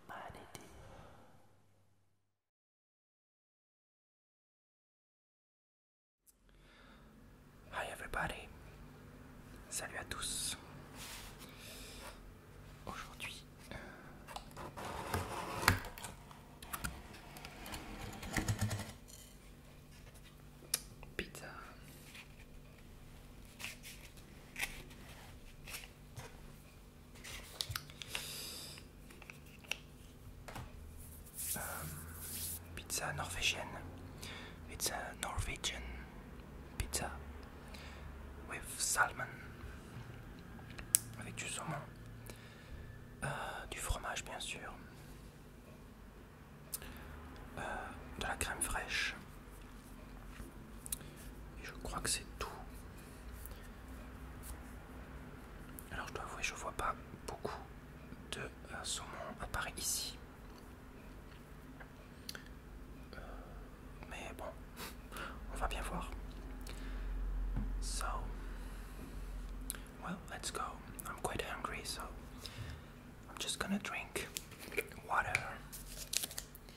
humanity Hi everybody Salut à tous Aujourd'hui euh, Pizza euh, pizza norvégienne. Pizza a Norwegian pizza with salmon. Avec du saumon. Euh, du fromage bien sûr. Euh, de la crème fraîche je crois que c'est tout. Alors je dois avouer, je vois pas beaucoup de euh, saumon apparaître ici. Euh, mais bon, on va bien voir. So, well, let's go. I'm quite hungry, so I'm just gonna drink water.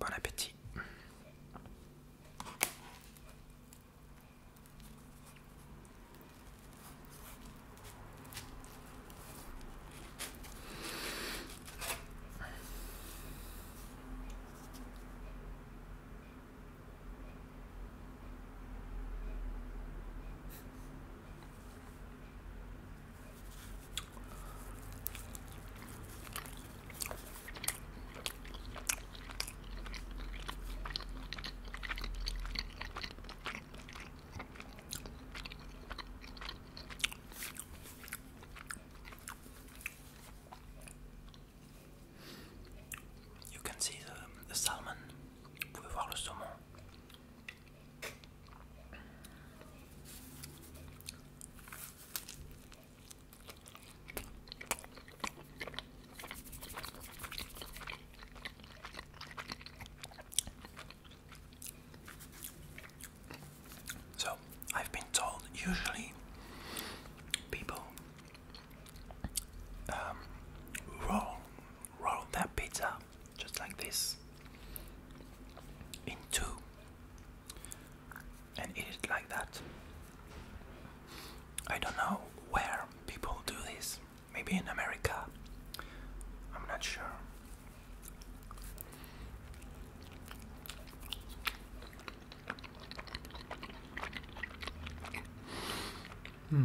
Bon appétit. You can see the, salmon. Vous pouvez voir le saumon. So, I've been told usually people um, roll roll that pizza just like this in and eat it like that. I don't know where people do this. Maybe in America. I'm not sure. Hmm.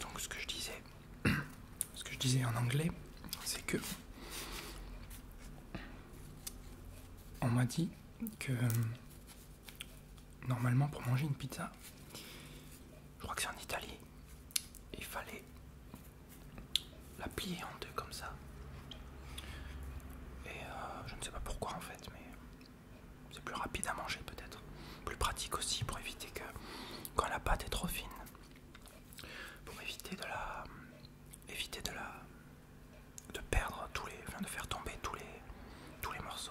Donc ce que je disais, ce que je disais en anglais, c'est que on m'a dit que euh, normalement pour manger une pizza, je crois que c'est en Italie, il fallait la plier en deux comme ça. Et euh, je ne sais pas pourquoi en fait, mais c'est plus rapide à manger peut-être. Plus pratique aussi pour éviter que quand la pâte est trop fine, pour éviter de la éviter de la de perdre tous les, enfin de faire tomber tous les, tous les morceaux.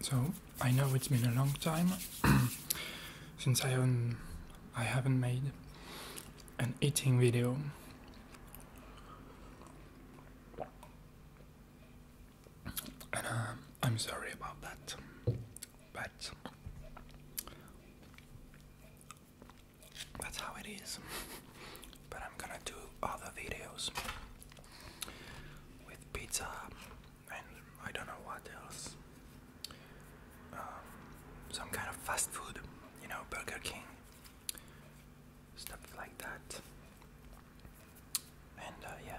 So I know it's been a long time since I haven't I haven't made an eating video. And uh, I'm sorry about that. But that's how it is. But I'm gonna do other videos with pizza and I don't know what else. Um, some kind of fast food, you know, Burger King, stuff like that. And uh, yeah.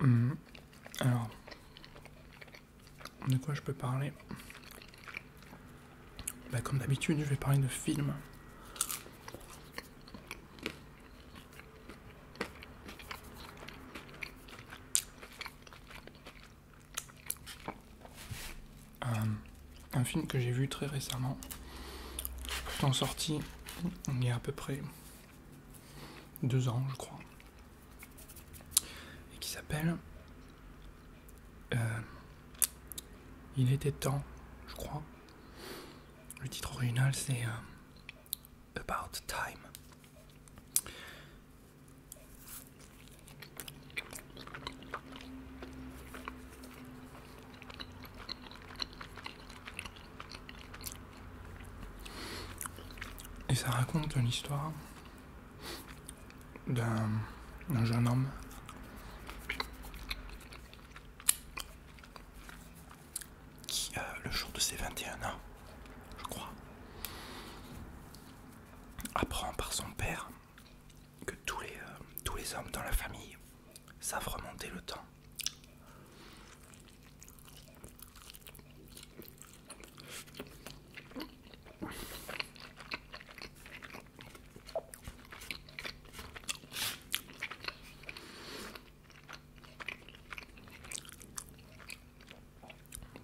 Hmm. Alors, de quoi je peux parler bah, Comme d'habitude, je vais parler de films. Euh, un film que j'ai vu très récemment, en sortie il y a à peu près deux ans, je crois, et qui s'appelle euh, Il était temps, je crois. Le titre original, c'est euh, About Time. Et ça raconte l'histoire d'un jeune homme qui, le jour de ses 21 ans, je crois, apprend par son père que tous les euh, hommes dans la famille savent remonter le temps.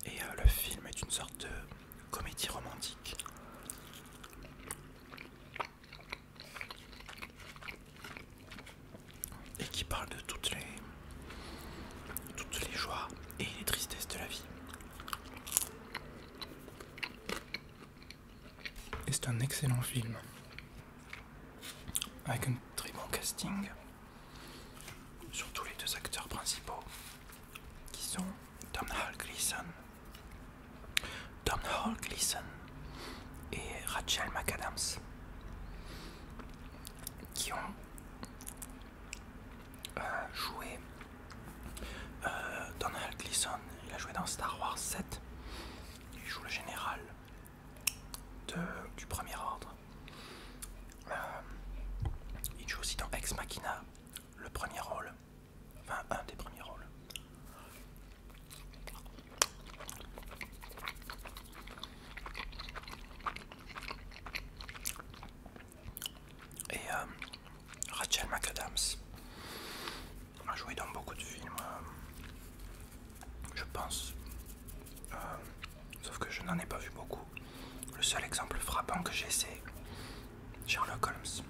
Et euh, le film est une sorte de comédie romantique et qui parle de toutes les, toutes les joies et les tristesses de la vie. Et c'est un excellent film avec un très bon casting, surtout les deux acteurs principaux qui sont Tom Hall Gleason, Donald Gleason et Rachel McAdams qui ont euh, joué Donald euh, Gleason, il a joué dans Star Wars 7, il joue le général de, du premier ordre. Euh, il joue aussi dans Ex Machina, le premier rôle, enfin un des premiers rôles. Et euh, Rachel McAdams a joué dans beaucoup de films, euh, je pense, euh, sauf que je n'en ai pas vu beaucoup. Le seul exemple frappant que j'ai, c'est Sherlock Holmes.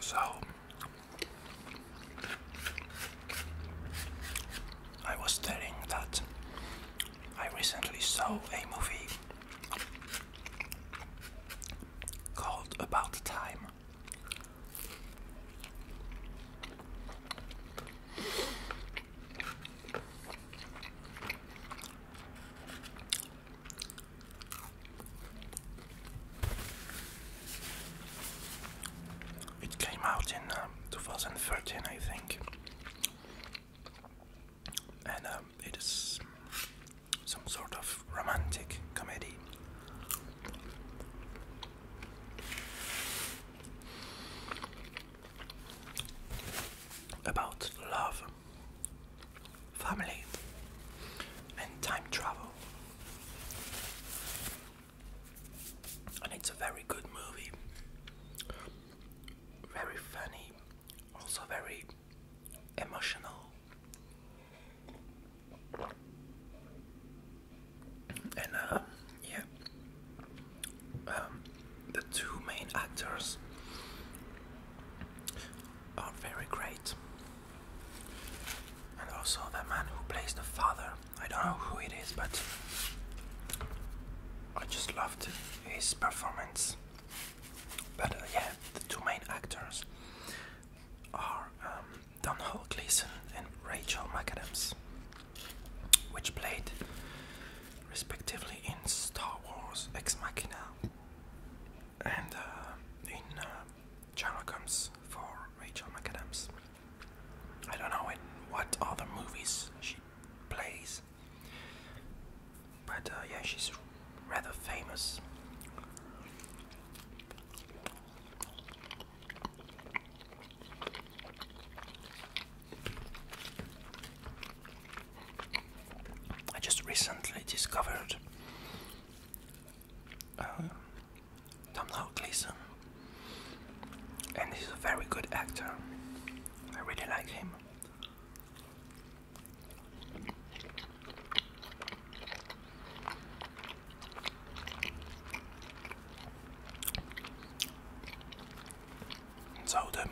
So I was telling that I recently saw a movie called About Time. It came out in uh, 2013, I think and um, it is some sort of romantic comedy. About love, family, and time travel, and it's a very good movie, very funny, also very emotional. And uh, yeah, um, the two main actors are very great. And also the man who plays the father, I don't know who it is, but I just loved his performance. But uh, yeah, the two main actors are um, Don Donald Gleason and Rachel McAdams, which played respectively in Star Wars Ex Machina and uh, in uh, Sherlock for Rachel McAdams. I don't know in what other movies she plays but uh, yeah, she's rather famous. I just recently discovered um, Tom Domhnall and he's a very good actor. I really like him. So the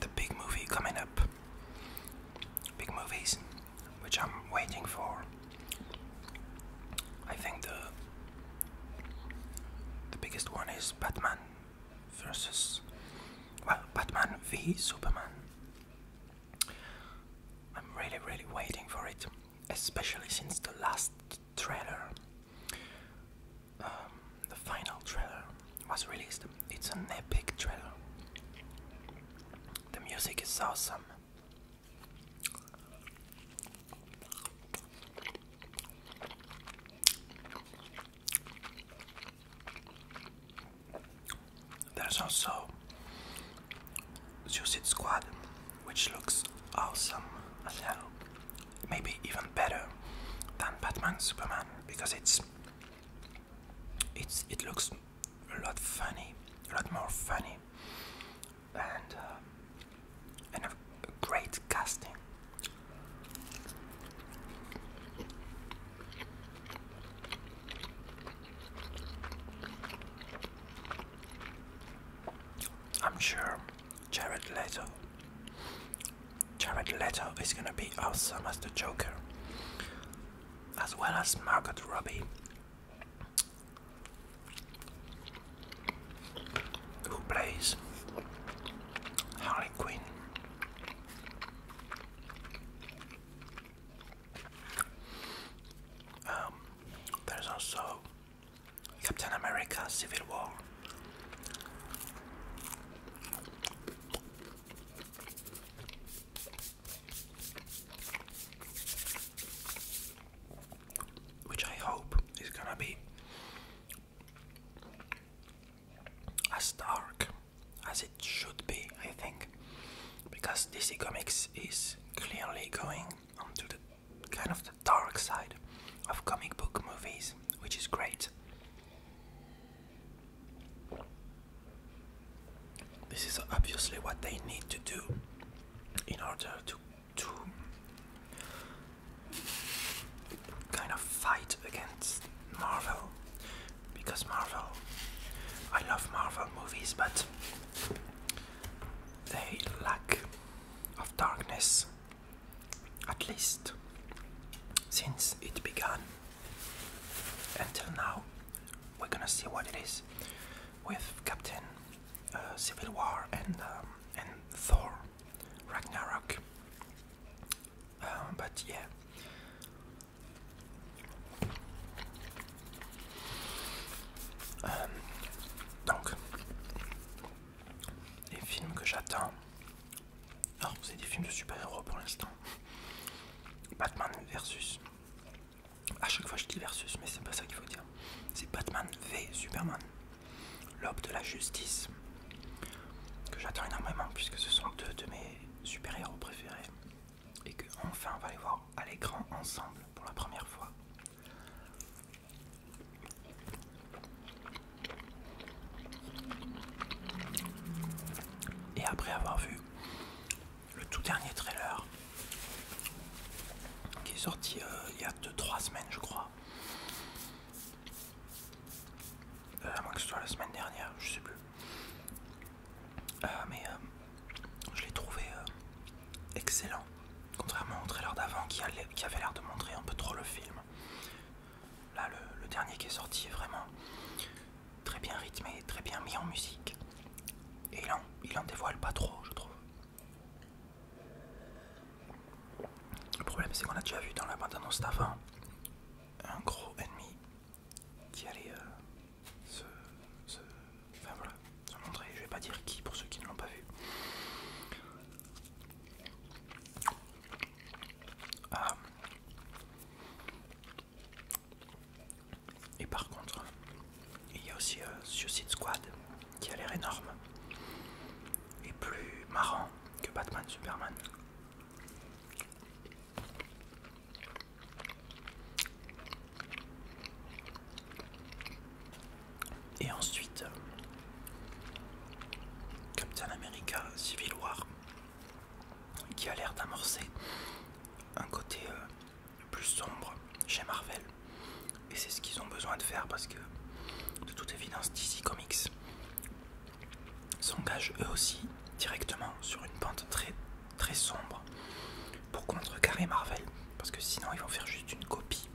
the big movie coming up, big movies, which I'm waiting for. I think the the biggest one is Batman versus. Well, Batman v Superman. I'm really, really waiting for it, especially since the last trailer, um, the final trailer, was released. It's an epic trailer. The music is awesome. There's also Suicide Squad, which looks awesome as hell. Maybe even better than Batman Superman because it's it's it looks a lot funny, a lot more funny, and uh, and a great casting. I'm sure Jared Leto. Jared Leto is gonna be awesome as the Joker, as well as Margot Robbie who plays Harley Quinn. Um, there's also Captain America Civil War. Which I hope is gonna be as dark as it should be, I think, because DC Comics is clearly going onto the kind of the dark side of comic book movies, which is great. This is obviously what they need to do in order to to kind of fight against Marvel because Marvel I love Marvel movies but they lack of darkness at least since it began until now we're gonna see what it is with Captain uh, Civil War and um, and Thor Ragnarok. Mais, um, um, donc, les films que j'attends. Alors, vous avez des films de super-héros pour l'instant. Batman versus. À chaque fois, je dis versus, mais c'est pas ça qu'il faut dire. C'est Batman v Superman l'aube de la justice, que j'attends énormément puisque ce sont deux de mes super-héros préférés et que enfin on va les voir à l'écran ensemble pour la première fois. Et après avoir vu le tout dernier trailer qui est sorti euh, il y a 2-3 semaines je crois, euh, à moins que ce soit la semaine dernière, je sais plus. Euh, mais euh, je l'ai trouvé excellent. Contrairement au trailer d'avant qui, avait l'air de montrer un peu trop le film. Là, le, dernier qui est sorti est vraiment très bien rythmé, très bien mis en musique. Et il en dévoile pas trop, je trouve. Le problème c'est qu'on a déjà vu dans la bande annonce d'avant un gros ennemi qui allait euh, se, montrer, je vais pas dire qui pour ceux qui ne l'ont pas vu. Ah. Et par contre, il y a aussi euh, Suicide Squad qui a l'air énorme et plus marrant que Batman Superman. Et ensuite, Captain America Civil War, qui a l'air d'amorcer un côté euh, plus sombre chez Marvel, et c'est ce qu'ils ont besoin de faire parce que, de toute évidence, DC Comics s'engage eux aussi directement sur une pente très très sombre pour contrecarrer Marvel. Parce que sinon, ils vont faire juste une copie,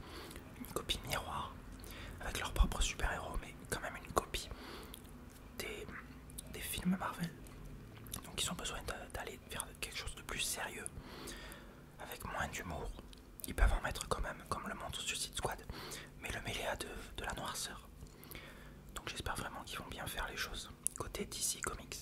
une copie miroir avec leur propre super-héros, mais quand même une copie des, des films Marvel. Donc, ils ont besoin d'aller vers quelque chose de plus sérieux avec moins d'humour. Ils peuvent en mettre quand même, comme le montre Suicide Squad, mais le mêlé à de, de la noirceur. Donc j'espère vraiment qu'ils vont bien faire les choses. Côté DC Comics.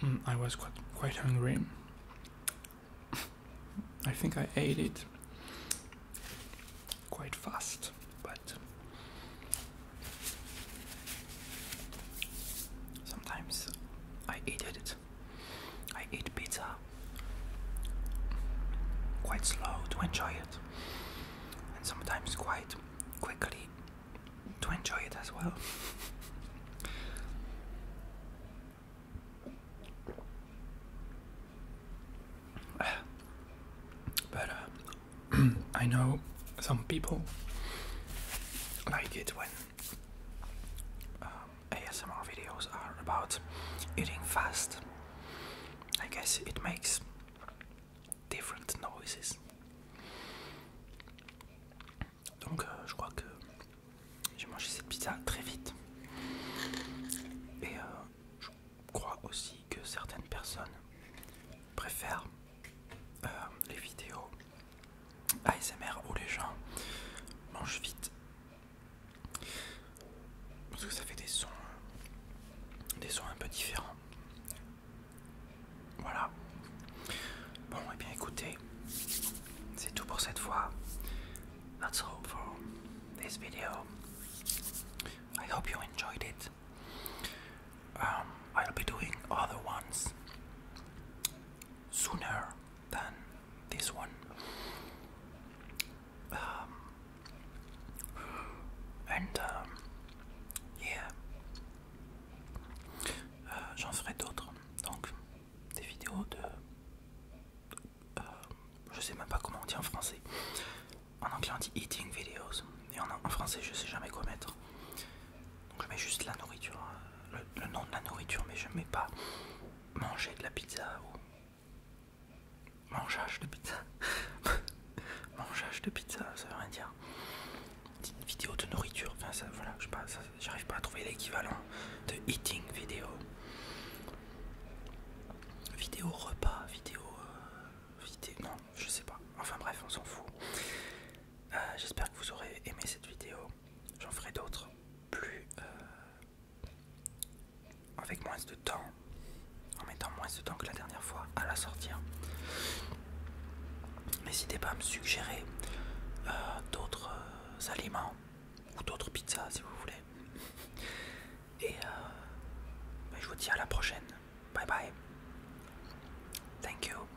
Hmm, I was quite, quite hungry. I think I ate it quite fast, but sometimes I eat it. I eat pizza quite slow to enjoy it, and sometimes quite quickly to enjoy it as well. but uh, I know some people like it when um, ASMR videos are about eating fast. I guess it makes different noises. Donc euh, je crois que j'ai mangé cette pizza très vite. Et euh, je crois aussi que certaines personnes préfèrent euh, les vidéos ASMR où les gens mangent vite. Parce que ça fait des sons, des sons un peu différents. Voilà. Bon, et eh bien écoutez, c'est tout pour cette fois. That's all for this video. I hope you enjoyed it. Um, I'll be doing other ones sooner than this one. Um, and um, yeah, Euh, j'en ferai d'autres, donc des vidéos de... Euh, je sais même pas comment on dit en français. En anglais on dit eating videos, et en, français je sais jamais quoi mettre. Donc je mets juste la nourriture, hein. le, nom de la nourriture, mais je mets pas manger de la pizza ou... Mangeage de pizza. Mangeage de pizza, ça veut rien dire une vidéo de nourriture. Enfin, ça, voilà, j'arrive pas à trouver l'équivalent de eating vidéo. Vidéo repas, vidéo, euh, vidéo. Non, je sais pas. Enfin bref, on s'en fout. Euh, j'espère que vous aurez aimé cette vidéo. J'en ferai d'autres plus. Euh, avec moins de temps. En mettant moins de temps que la dernière fois à la sortir. N'hésitez pas à me suggérer euh, d'autres euh, aliments ou d'autres pizzas si vous voulez. Et euh, ben, je vous dis à la prochaine. Bye bye. Thank you.